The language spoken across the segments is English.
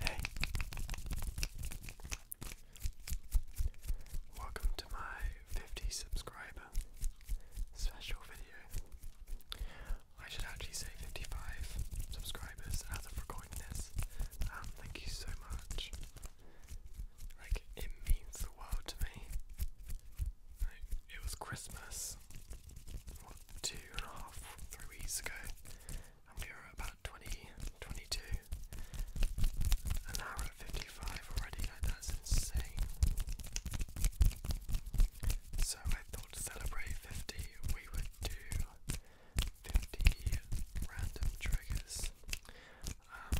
Hey, welcome to my 50 subscriber special video. I should actually say 55 subscribers as of recording Um, thank you so much. Like, it means the world to me. it was Christmas two and a half, three weeks ago, and we were about 20, 22, and now we're 55 already. Like that's insane. So I thought to celebrate 50, we would do 50 random triggers. Um,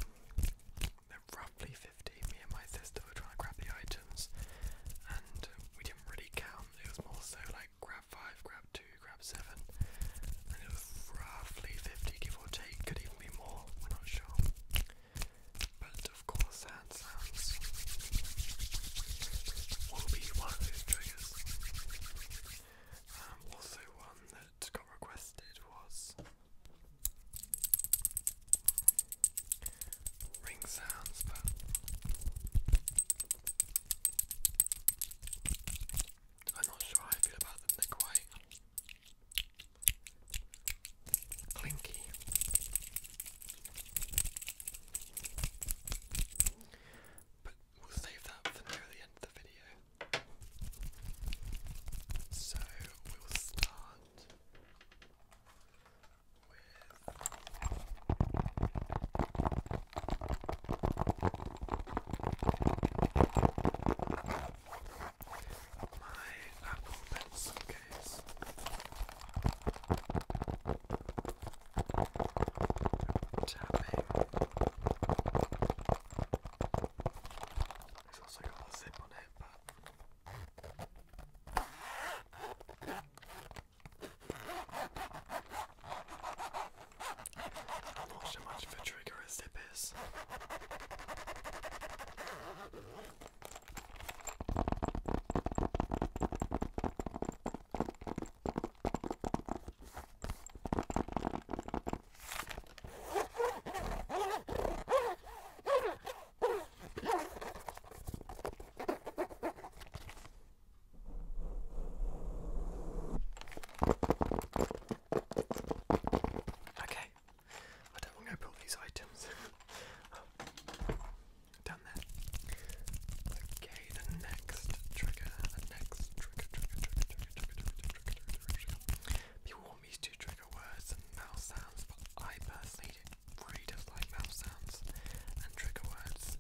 they're roughly 50. Me and my sister were trying to grab the items, and we didn't really count. It was more so like grab 5, grab 2, grab 7, roughly 50 give or take, could even be more, we're not sure. But of course, hand sounds will be one of those triggers. Um, also, one that got requested was ring sounds, I'm not sure how I feel about them, they're quite clinky. But we'll save that for the end of the video. So we'll start with my Apple Pencil case. Tapping. It's also got a zip on it, but. Not so much of a trigger as it is. Okay, I don't want to put these items down there. Okay, the next trigger, the next trigger, trigger, trigger, trigger, trigger, trigger, trigger, trigger, trigger. People want me to trigger words and mouse sounds, but I personally really dislike mouth sounds and trigger words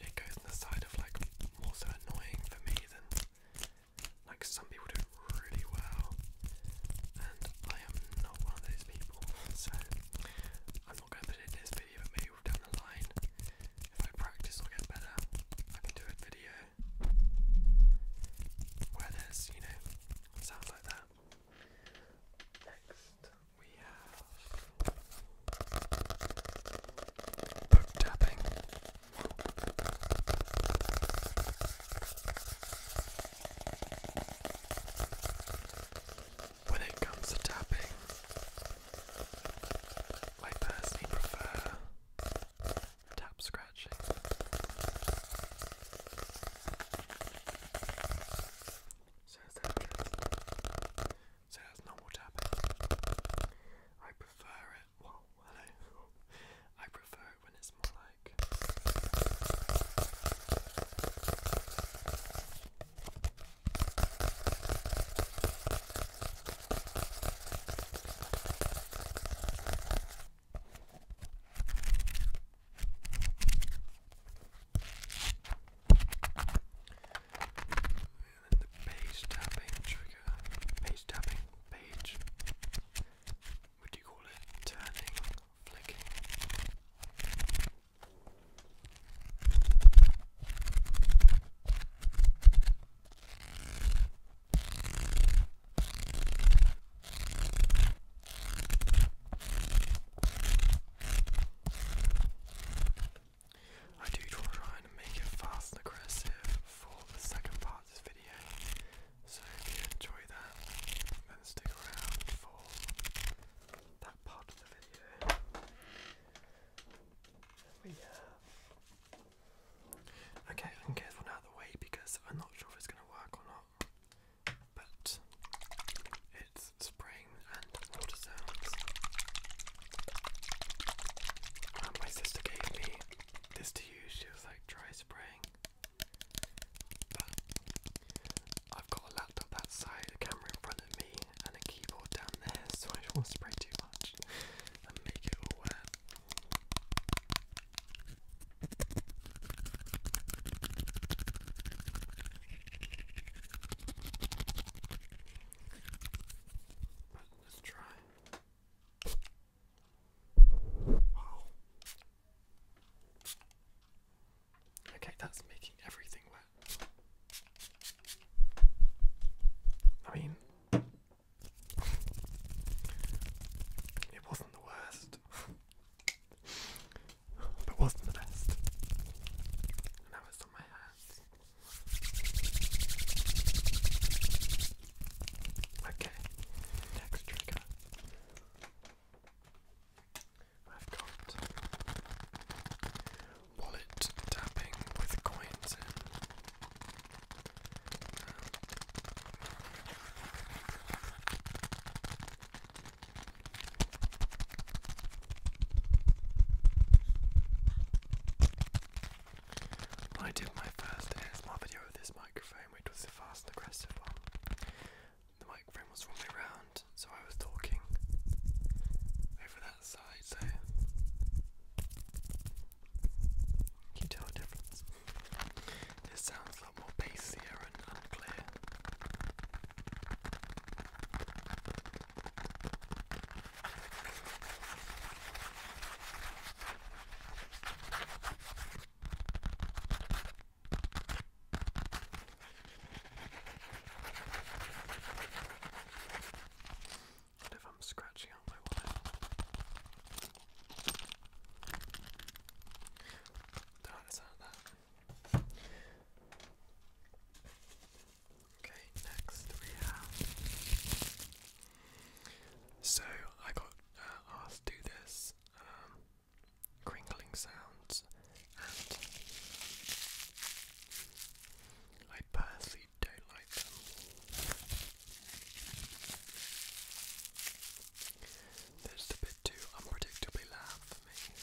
it goes on the side of like more so annoying for me than like some people do really well, and I am not one of those people, so I'm not going to put it in this video, but maybe down the line, if I practice or get better, I can do a video where there's, you know, sounds like that. Next tapping. When it comes to tapping, I personally prefer tap scratching. So, is that so that's not what happened. I prefer it. Well, hello. I prefer it when it's more like the page tapping trigger, page tapping, page, what you call it? Turning, flicking. I do try and make it fast and aggressive for the second part of this video, so if you enjoy that, then stick around for that part of the video. Okay, I can get this one out of the way because I'm not sure if it's going to work or not, but it's spray and water sounds. my sister gave me this to use, she was like, try spraying. But I've got a laptop outside, a camera in front of me, and a keyboard down there, so I don't spray too much and make it all wet. But let's try. Wow. Okay, that's making everything wet. I mean, it wasn't the worst, but it wasn't the best. now it's on my hair. Okay, next trigger. I've got wallet tapping with coins in. Um, I did my first ASMR video with this microphone, which was the fast and aggressive one. The microphone was all the way round, so I was talking over that side, so you tell the difference. This sounds a lot more bassier and unclear. And if I'm scratching out my wallet, no, it's not that. Okay, next we have. So I got uh, asked to do this um, crinkling sounds, and I personally don't like them. They're just a bit too unpredictably loud for me.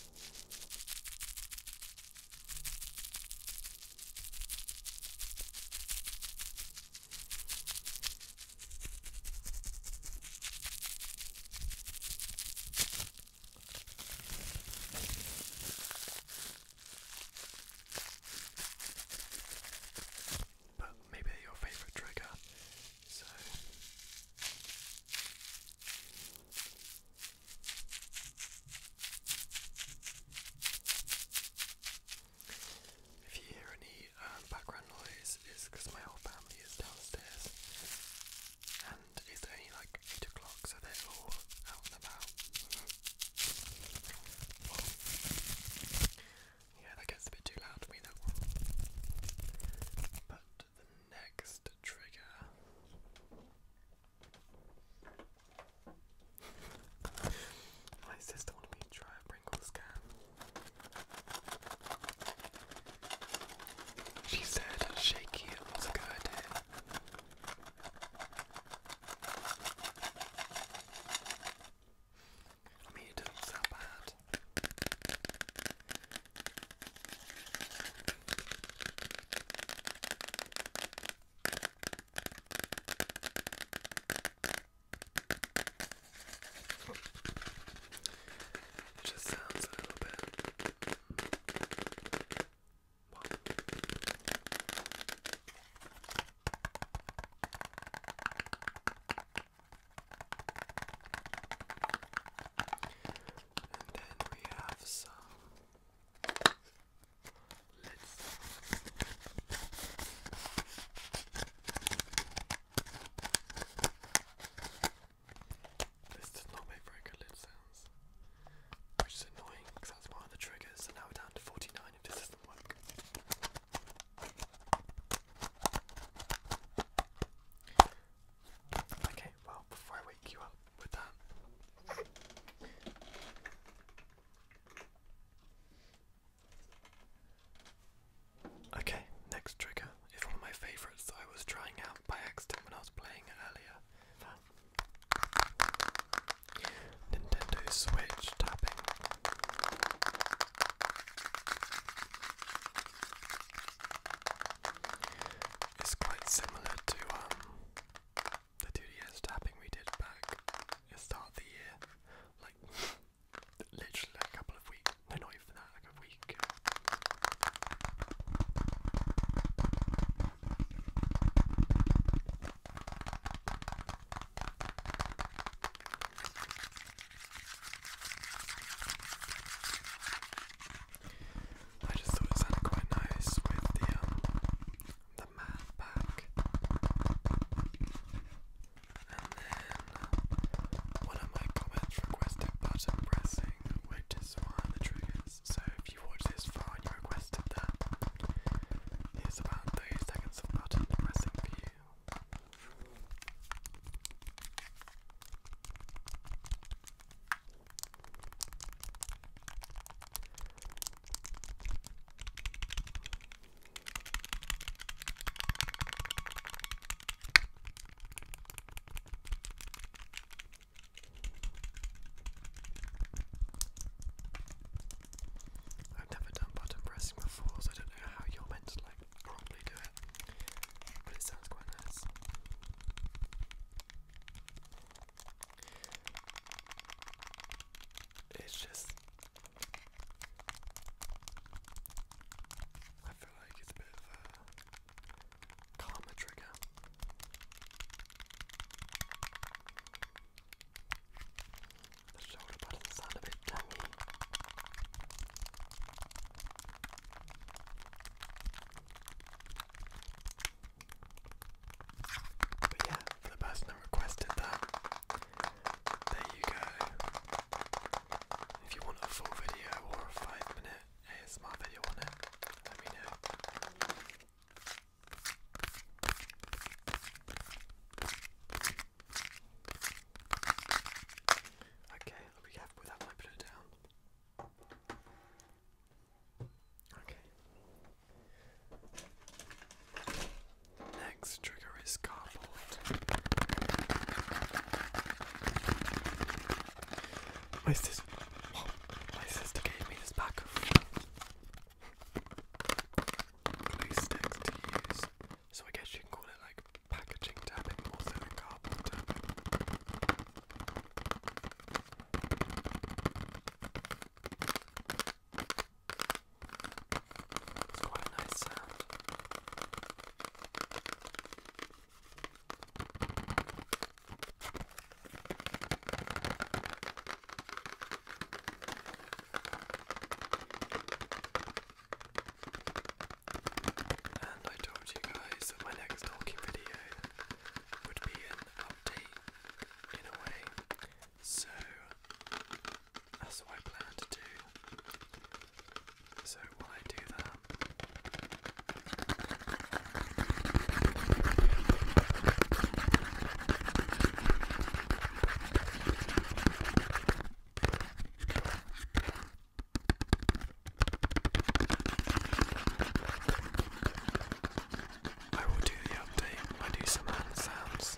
But maybe they're your favourite trigger, so. If you hear any um, background noise, it's because my whole family is downstairs and it's only like 8 o'clock, so they're all out and about. yeah, that gets a bit too loud for me, But the next trigger my sister wanted me to try a Pringles can. She said shaky it was a good idea. I mean, it doesn't bad. It just sounds a little bit. Well. And then we have some this does not make very good lid sounds, which is annoying because that's one of the triggers. So now we're down to 49 if this doesn't work. Okay, well, before I wake you up with that, Okay, next trigger is one of my favourites I was trying out by accident when I was playing earlier. Nintendo Switch tapping. It's quite similar to um the 2DS tapping we did back at the start of the year, like literally a couple of weeks, no, not even that, like a week. I just thought it sounded quite nice with the um, the mad And then one of my comments requested button pressing, which is one of the triggers. So if you watch this far you requested that, here's about 30 seconds of button pressing for you. I've never done button pressing before, so I don't know how you're meant to like properly do it. But it sounds quite nice. It's just I feel like it's a bit of a karma trigger. The shoulder buttons a bit tangy. But yeah, for the person that requested that, there you go. If you want a full video or a five minute ASMR video on it, let me know. Okay, I'll be careful with that down. Okay. Next trigger is cardboard. My sister, my sister gave me this pack of glue to use, so I guess you can call it like packaging tapping more than cardboard tapping. It's quite a nice sound. And I told you guys that my next talking video would be an update in a way so that's what I plan to do. So while I do that, I will do the update I do some hand sounds.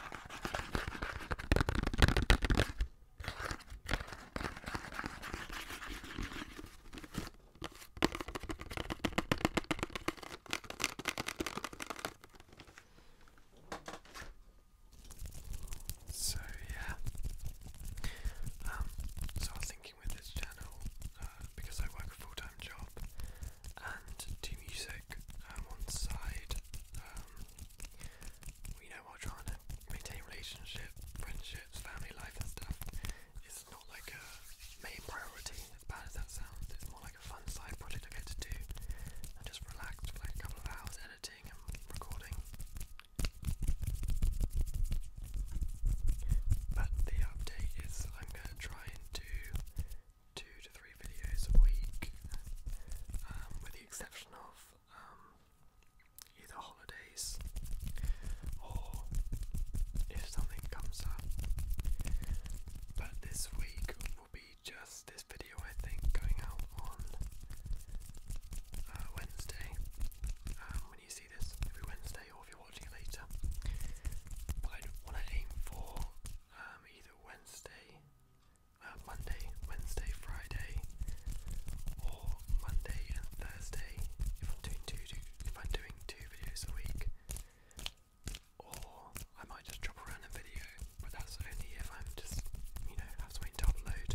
So yeah, um, so I was thinking with this channel uh, because I work a full-time job, and to music um, on the side. Um, you know, while trying to maintain relationship, friendships, family life, and stuff, it's not like a main priority. As bad as that sounds, it's more like a fun side project I get to do and just relax like a couple editing and recording. But the update is I'm gonna try and do two to three videos a week, um, with the exception of um, either holidays or if something comes up. But this week will be just this video, I think, going out on uh, Wednesday. Um, when you see this, every Wednesday, or if you're watching later. But I want to aim for either Wednesday uh, Monday, Wednesday, Friday, or Monday and Thursday if I'm doing two, if I'm doing two videos a week. Or I might just drop around a video, but that's only if I'm just you know have something to upload.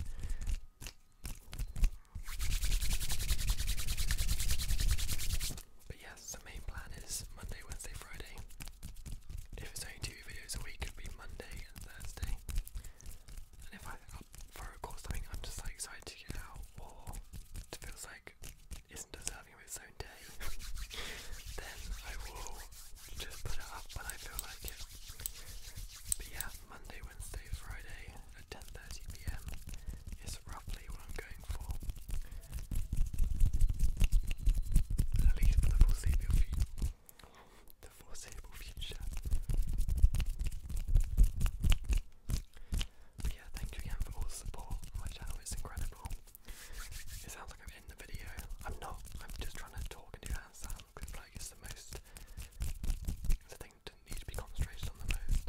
But yes, the main plan is Monday, Wednesday, Friday. If it's only two videos a week, it'll be Monday and Thursday. And if I up for a something I'm just like excited to get out, or it feels like it isn't deserving of its own day, then I will just put it up when I feel like it. But yeah, Monday, Wednesday, Friday at 10:30 p.m. is roughly what I'm going for. At least for the foreseeable future the foreseeable future. yeah, thank you again for all the support my channel, it's incredible. It sounds like I'm in the video. I'm not, I'm just trying to talk and do hand sounds because like it's the most the thing that needs to be concentrated on the most.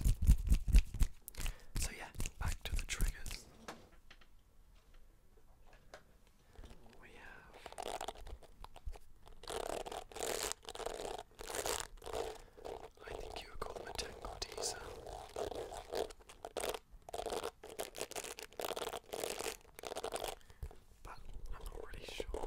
So yeah, back to the triggers. We have I think you would call them a tangle teaser. But I'm not really sure.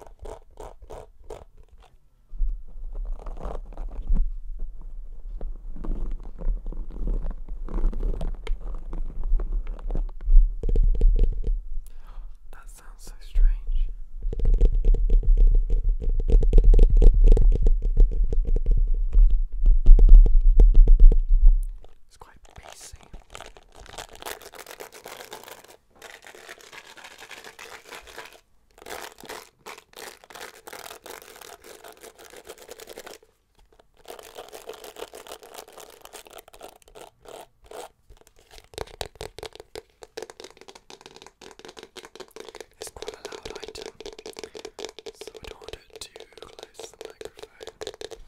That sounds so strange. It's quite bassy. It's quite a loud item, so I don't want close the microphone. At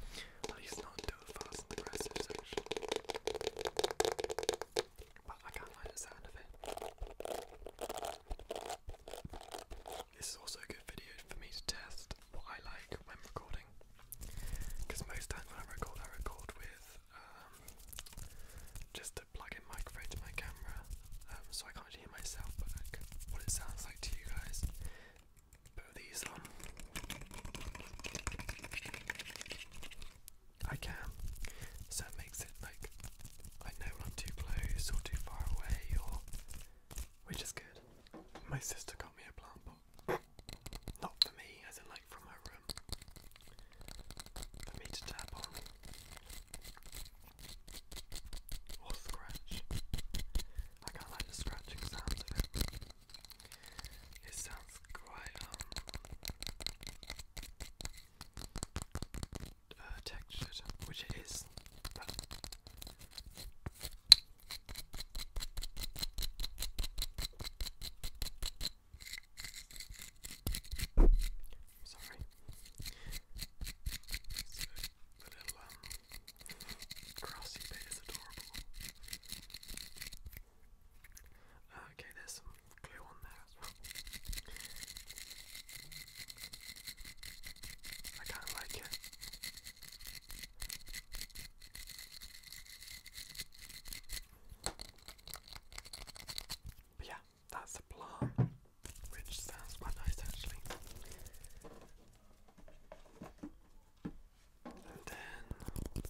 least not too fast and aggressive section. But I can't like the sound of it. This is also a good video for me to test what I like when recording. Because most times when I record, I record with um, just a plug-in microphone to my camera, um, so I can't hear myself, but what it sounds like to you guys. Put these I can, so it makes it like I know I'm too close or too far away, or which is good. My sister got me a plant pot not for me, as in like from her room. For me to tap on. Or scratch. I kind like the scratching sounds of it. It sounds quite um uh, textured, which it is. I'm sorry. See the, the little um, grassy bit is adorable. Okay, there's some glue on there as well. I kind of like it. But yeah, that's the plum, which sounds quite nice actually. And then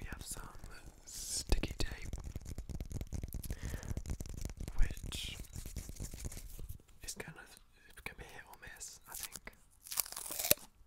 we have some sticky tape, which is kind of can be hit or miss, I think.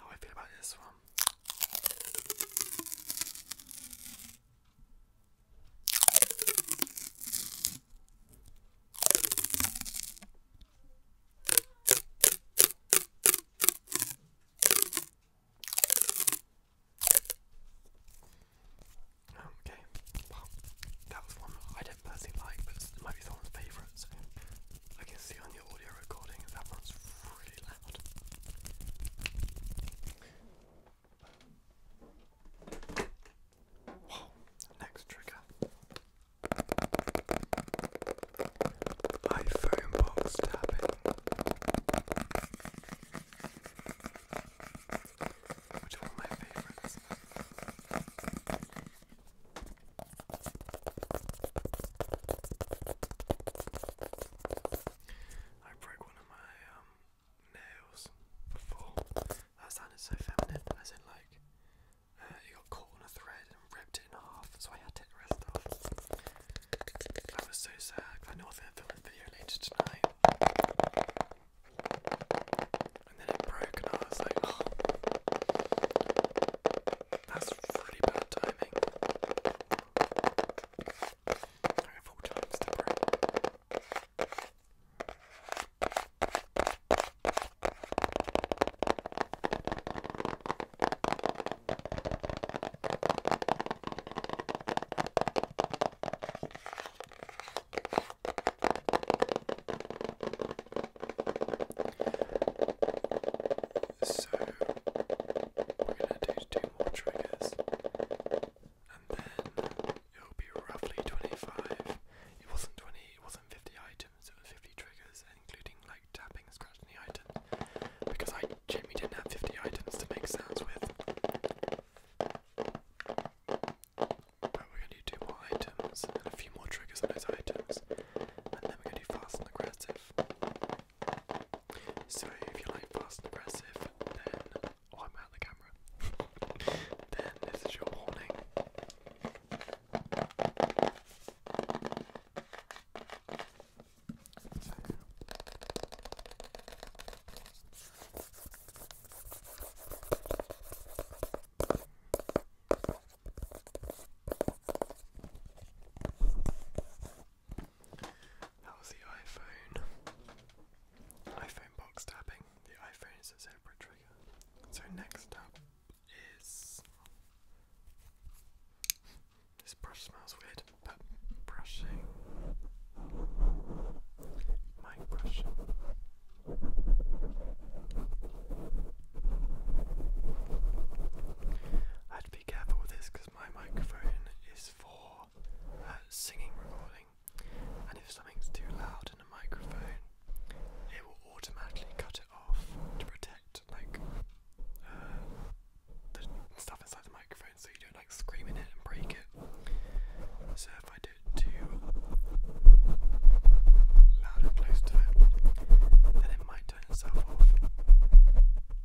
how I feel about this one. Okay, that was one I didn't personally like, but it might be someone's favourite, so I can see on the audio recording that one's really next trigger. iPhone box tapping. Which one of my favourites? I broke one of my um, nails before. That sounded so feminine, as in like uh, got caught on a thread and ripped it in half, so I had to rest off. I was so sad. I know I was going to film this video later tonight. And then it broke, and I was like, oh. that's really bad timing. Alright, four times the breath. So we're gonna do two more triggers, and then it'll be roughly 25. It wasn't 20, it wasn't 50 items, it was 50 triggers, including like tapping, scratching the items, because I Jimmy didn't have 50 items to make sounds with. But we're gonna do two more items and a few more triggers on those items, and then we're gonna do fast and aggressive. So if you like fast and aggressive, then I'm out the camera. then this is your warning. That the iPhone. iPhone box tapping. The iPhone is a separate trigger. So next up is this brush smells weird, but brushing my brush. I had be careful with this because my microphone is for uh, singing recording, and if something's too loud in a microphone, it will automatically cut it off to protect like uh, the stuff inside the microphone, so you don't like scream in it and break it. So if I do it too loud and close to it, then it might turn itself off.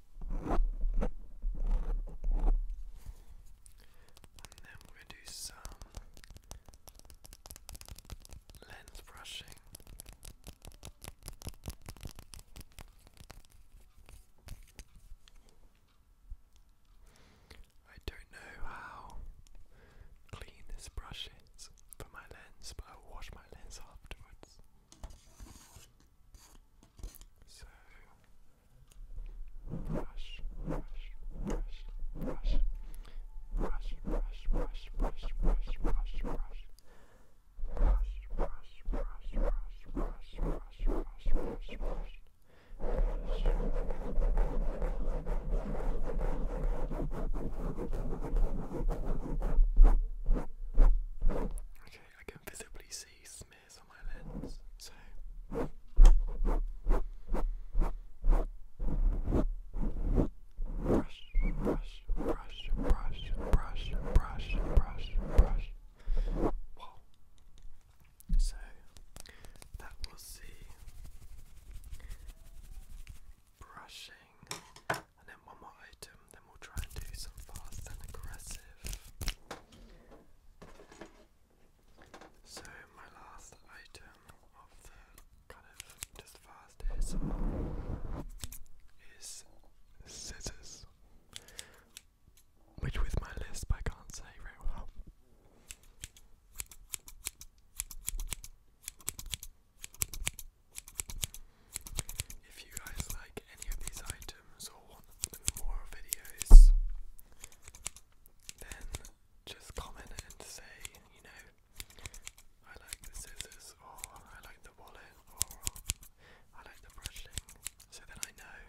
And then we're going to do some lens brushing. I don't know how clean this brush is for my lens, but I'll wash my lens afterwards. Okay, I can visibly see Smith brush, brush, brush, brush, brush, brush, brush, brush. Wow. So that was the brushing, and then one more item then we'll try and do some fast and aggressive. So my last item of the kind of just fast is scissors. Which with my list I can't say very well. If you guys like any of these items, random, want more videos, then just comment and say, you know, I like the scissors, or I like the wallet, or I like the brushing, so that I know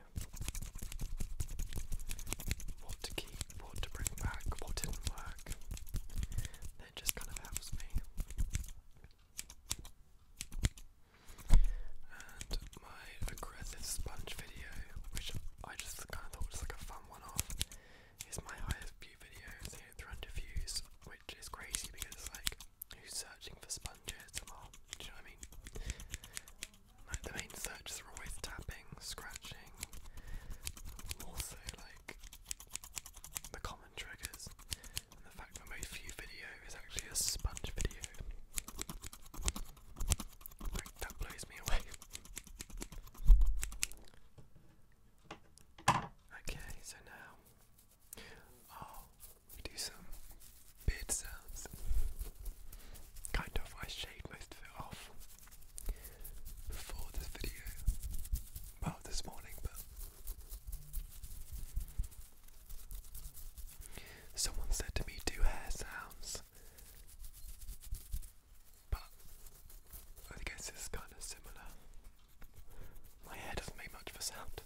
what to keep, what to bring back, what didn't work. It just kind of helps me and my aggressive sponge video, which I just kind of thought was like a fun one-off, is my highest view video, 300 views, which is crazy because it's like who's searching for sponges? do you know what I mean? Like the main searches are always tapping, scratching, also like the common triggers, the fact that my few video it's actually a sponge video. that blows me away. Okay, so now i oh, do some beard sounds. Kind of, I shaved most of it off before this video. Well, this morning, but Someone said to me, do hair sounds. But I guess it's kind of similar. My hair doesn't make much of a sound.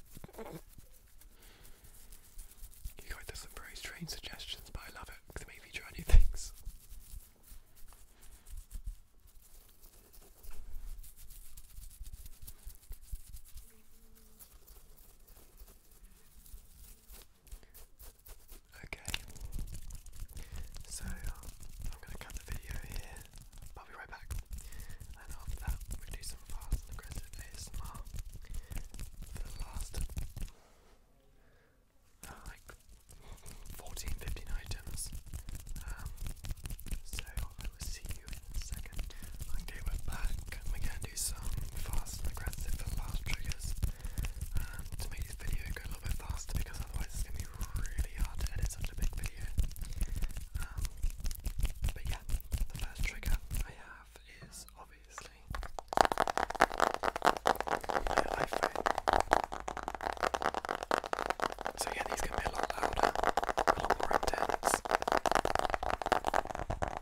You guys have some very strange suggestions, but I love it because it me try new things. Okay, so I'm going to cut the video here, I'll be right back, and after that we do some fast and aggressive ASMR for the last uh, like 14, 15 items, um, so I will see you in a second. Okay, we're back. We're gonna do some fast aggressive fast triggers um, to make this video go a little bit faster because otherwise it's gonna be really hard to edit such a big video. Um, but yeah, the first trigger I have is obviously my iPhone. So yeah, these can be a lot louder, a lot more intense. Which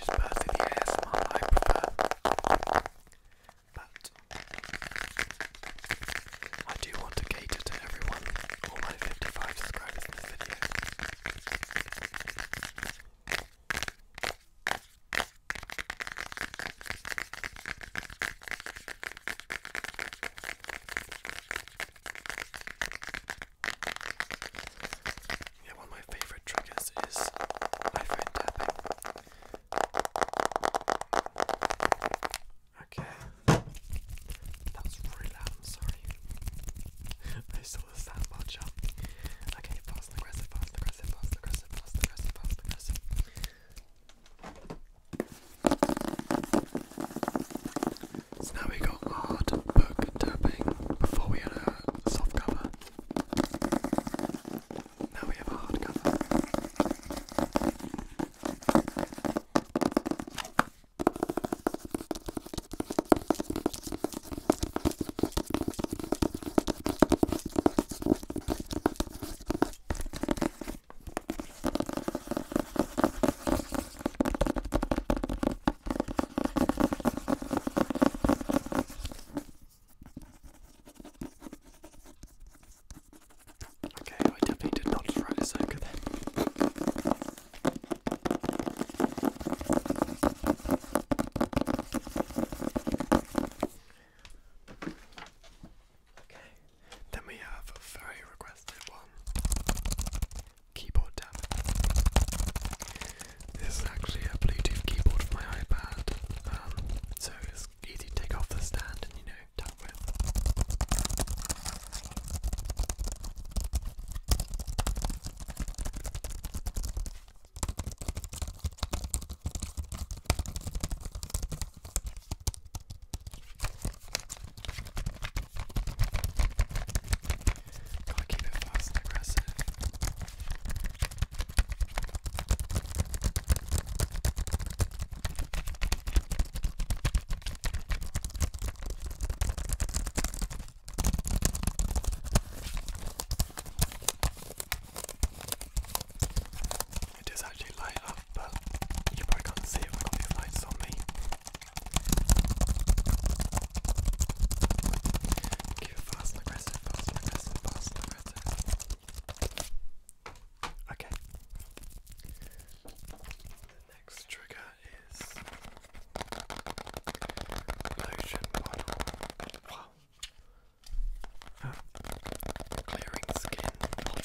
is personally ASMR I prefer. But I do want to cater to everyone, all my 55 subscribers yeah, one of my favorite triggers is iPhone tapping. Okay. That was really loud, I'm sorry. I saw the sound bar jump. Okay, fast and aggressive, fast and aggressive, fast and aggressive, so now we got hard book tapping before we had a soft cover. Now we have a hard cover. Okay, I definitely did not try this over then. Okay, then we have a very requested one keyboard This is actually a Bluetooth keyboard for my iPad, um, so it's easy to take off the stand and you know got keep it fast and aggressive. It actually light up, but you probably can't see it when I've got these lights on me. Keep it fast and aggressive, fast and aggressive, fast and aggressive. Okay. The next trigger is lotion bottle. Wow. Uh, clearing skin bottle.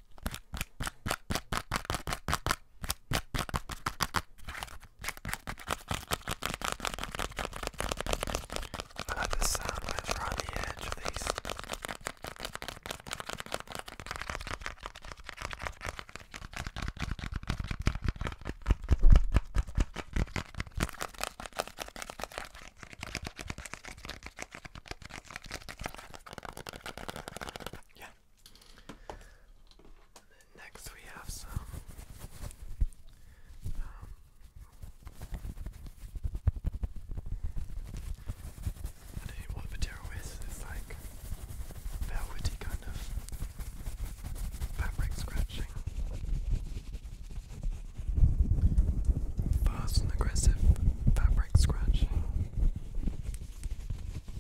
I like the sound when it's around the edge of these. Yeah, Next, we have some what material is. It's like velvety kind of fabric scratching, fast and aggressive fabric scratching.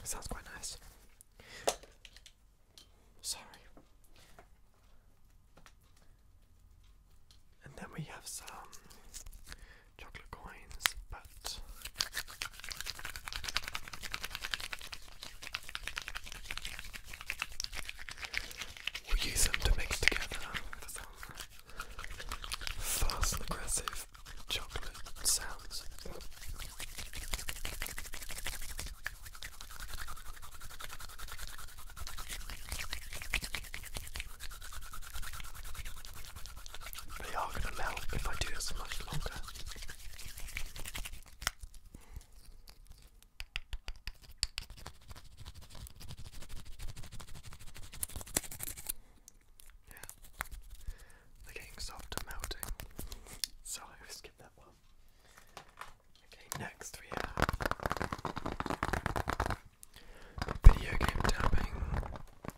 It sounds quite nice. Sorry. And then we have some chocolate coins, but we use them to mix together fast aggressive chocolate sounds. They are going to melt if I do this much longer. Yeah. getting soft melting. So I will skip that one. Okay, next we have video game tapping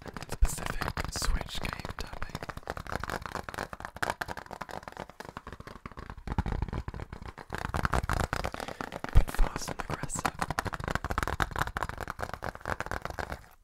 and in specific switch game tapping. But fast and aggressive.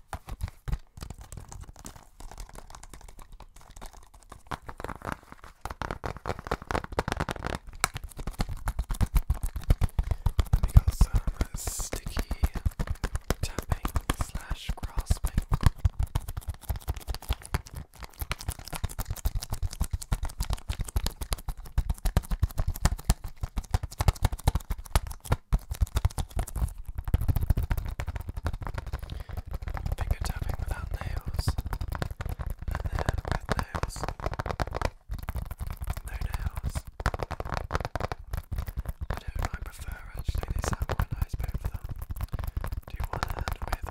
got some sticky tapping slash grasping. Finger tapping without nails, and then with nails, no nails. I don't. prefer actually. They sound quite nice them. Do one with one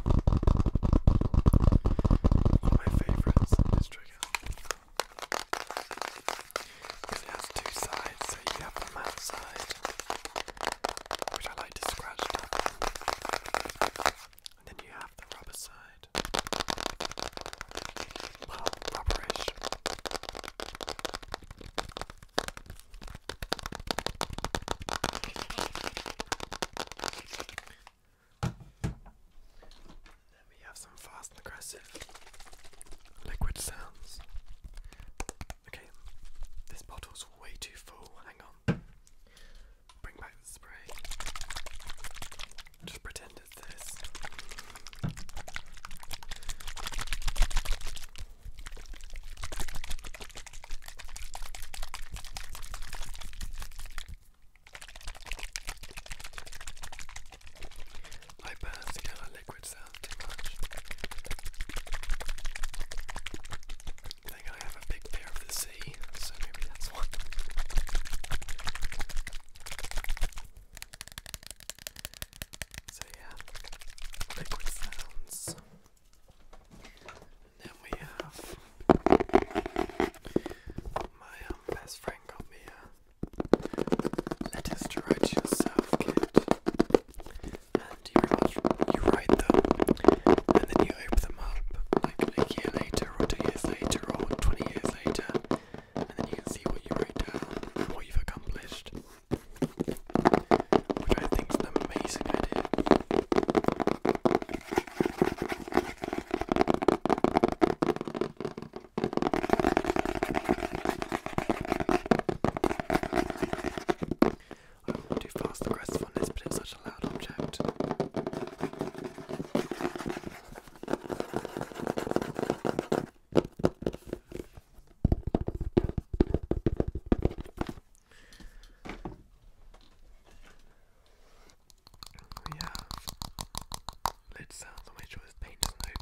One of my favorites is Trigger. Because it has two sides, so you have the mouth side, which I like to scratch And then you have the rubber side. Well, rubberish. Then we have some fast and aggressive liquid sounds. Okay, this bottle's way too full. Hang on. Bring back the spray. Just pretend it's this. I burn together liquid sounds I think I have a big fear of the sea, so maybe that's one. So yeah, liquid sounds. And then we have my um, best friend got me a write yourself kit. And you write, you them, and then you open them up like a year later, or two years later, or 20 years later, and then you can see what you wrote and what you've accomplished. Which I think is an amazing idea. I won't do fast aggressiveness, but it's such a loud object we lid sound, I'll make sure this paint doesn't open.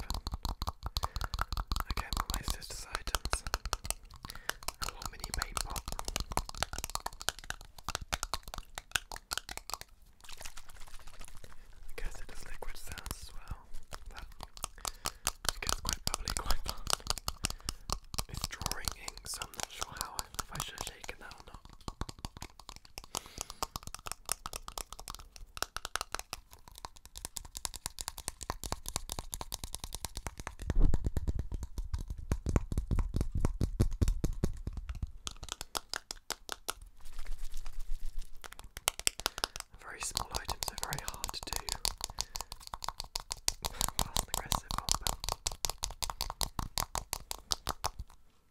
items. A little paint pot. I guess it does liquid sounds as well, but it quite bubbly It's drawing ink, so I'm I should have taken that Very small items are very hard to do whilst aggressive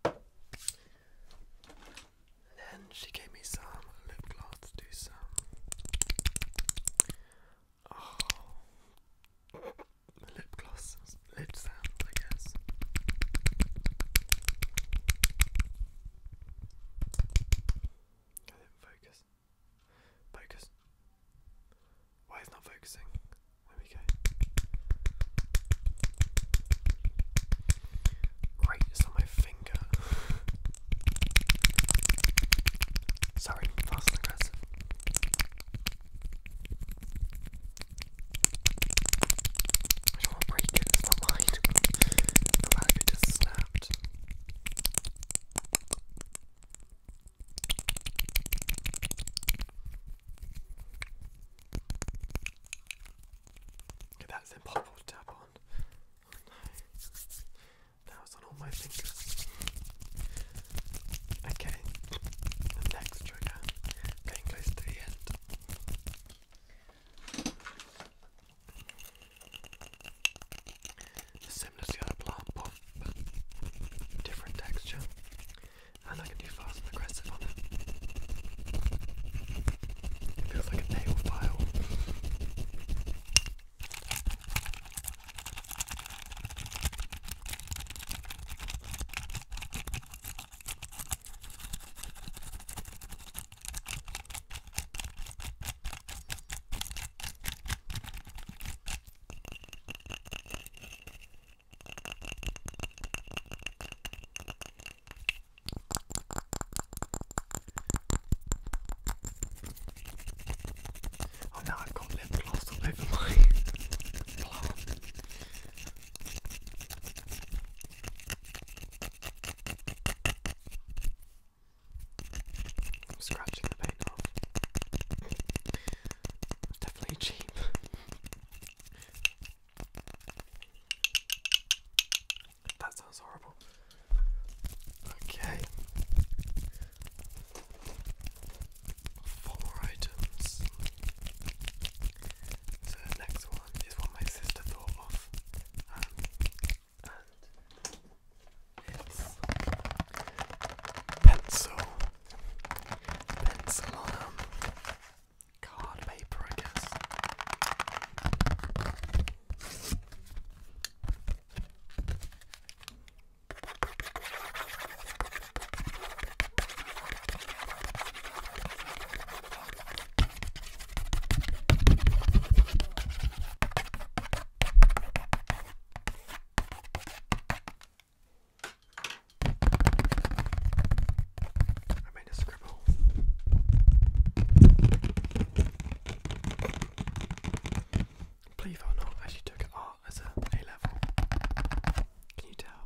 then she gave me some lip gloss to do some. Oh, lip gloss, lip I guess. I not focus. Focus. Why is not focusing? There we go. on my finger. Sorry, fast and aggressive. I don't want to break it, it's not The battery just snapped. Okay, that's impossible tap on. Oh, now it's on all my fingers. Okay, the next trigger. Getting close to the end. Similar to the other plant but different texture and I can do fast and aggressive on it. It feels like a nail file. Oh, now I've got lip gloss all over my plant. I'm scratching the paint off. It's definitely cheap. That sounds horrible. Okay. Four items. So next one is what my sister thought of. Um, and it's pencil. Pencil um, card paper, I guess. I made a scribble. Believe or not, I actually took art as a A level. Can you tell?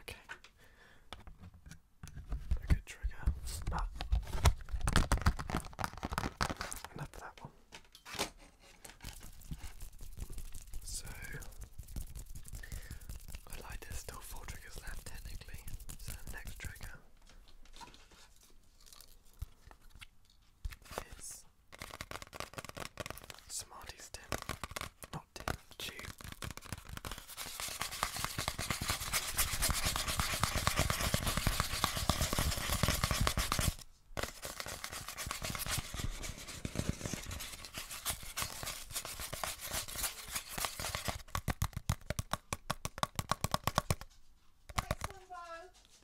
Okay a good trigger. enough of that one. So I like there's still four triggers left technically. So next trigger is Smarty Stim not too.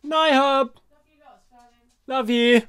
Night hub. Love you. Love you.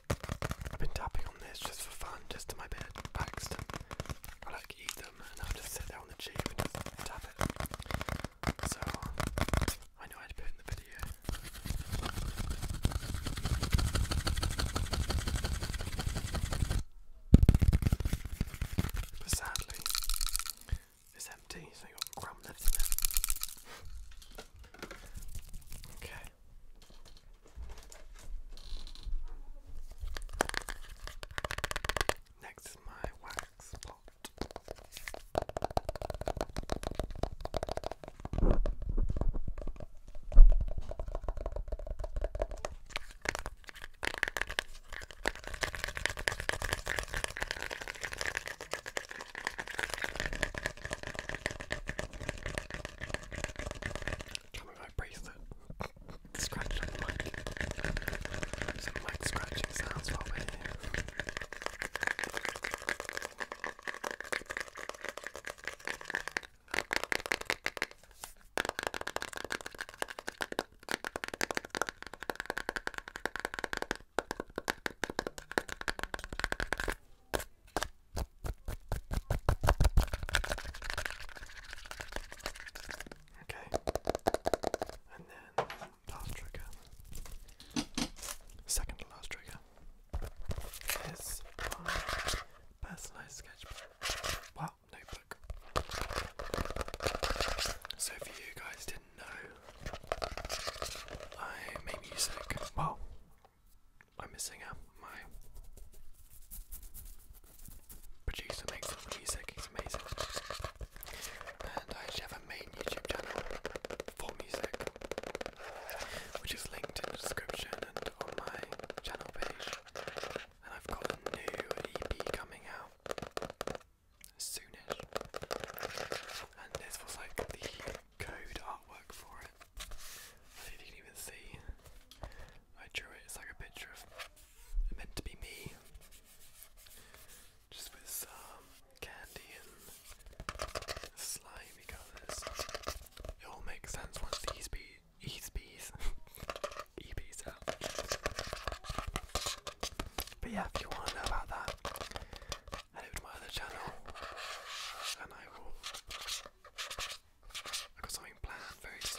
I've been tapping on this just for fun, just to my bed, relaxed. I like eat them and I'll just sit there on the chair and just tap it. So I know I'd put it in the video. But sadly, it's empty, so you got crumb left in it. okay. Next is my wax pot. Tell me my bracelet. Scratch on the mic. Some mic scratching sounds while we're here. Okay, and then last trigger, second to last trigger, is personalised sketchbook. Well, notebook. So, for you guys didn't know, I make music. Well, I'm missing out. My producer makes music, he's amazing. And I actually have a main YouTube channel for music, which is linked in the description and on my channel page. And I've got a new EP coming out soonish. And this was like the code artwork for it. I don't even see. I drew it, it's like a picture of meant to be me. Just with some candy and slimy colours. It all makes sense once these the these ESPs, these out. But yeah, if you want to know about that, head over to my other channel and I will I've got something planned very soon.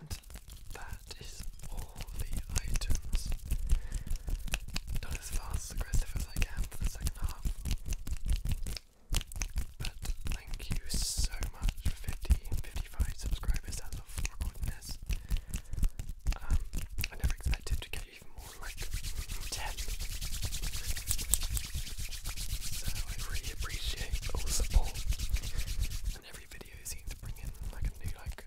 And that is all the items. Not as fast and aggressive as I can for the second half. But thank you so much for 50, 55 subscribers as of recording this. Um, I never expected to get even more like 10. So I really appreciate all the support and every video video seems to bring in like a new like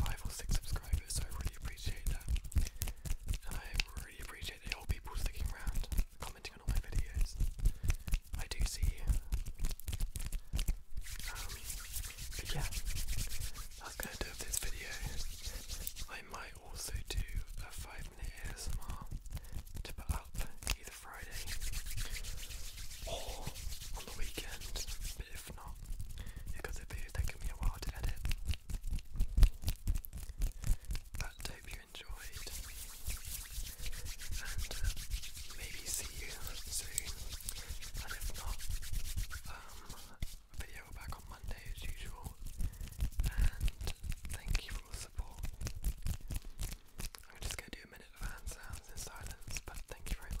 five or six subscribers, so I really appreciate that. And I really appreciate the people sticking around, commenting on all my videos. I do see you. Um, yeah, that's gonna this video. I might also do a five minute ASMR to put up either Friday or on the weekend, but if not, because it'd be taking me a while to edit. But I hope you enjoyed, and uh, maybe see you soon. And if not, um, video back on Monday as usual. And thank you for all the support. I'm just gonna do a minute of hand sounds in silence, but thank you very much.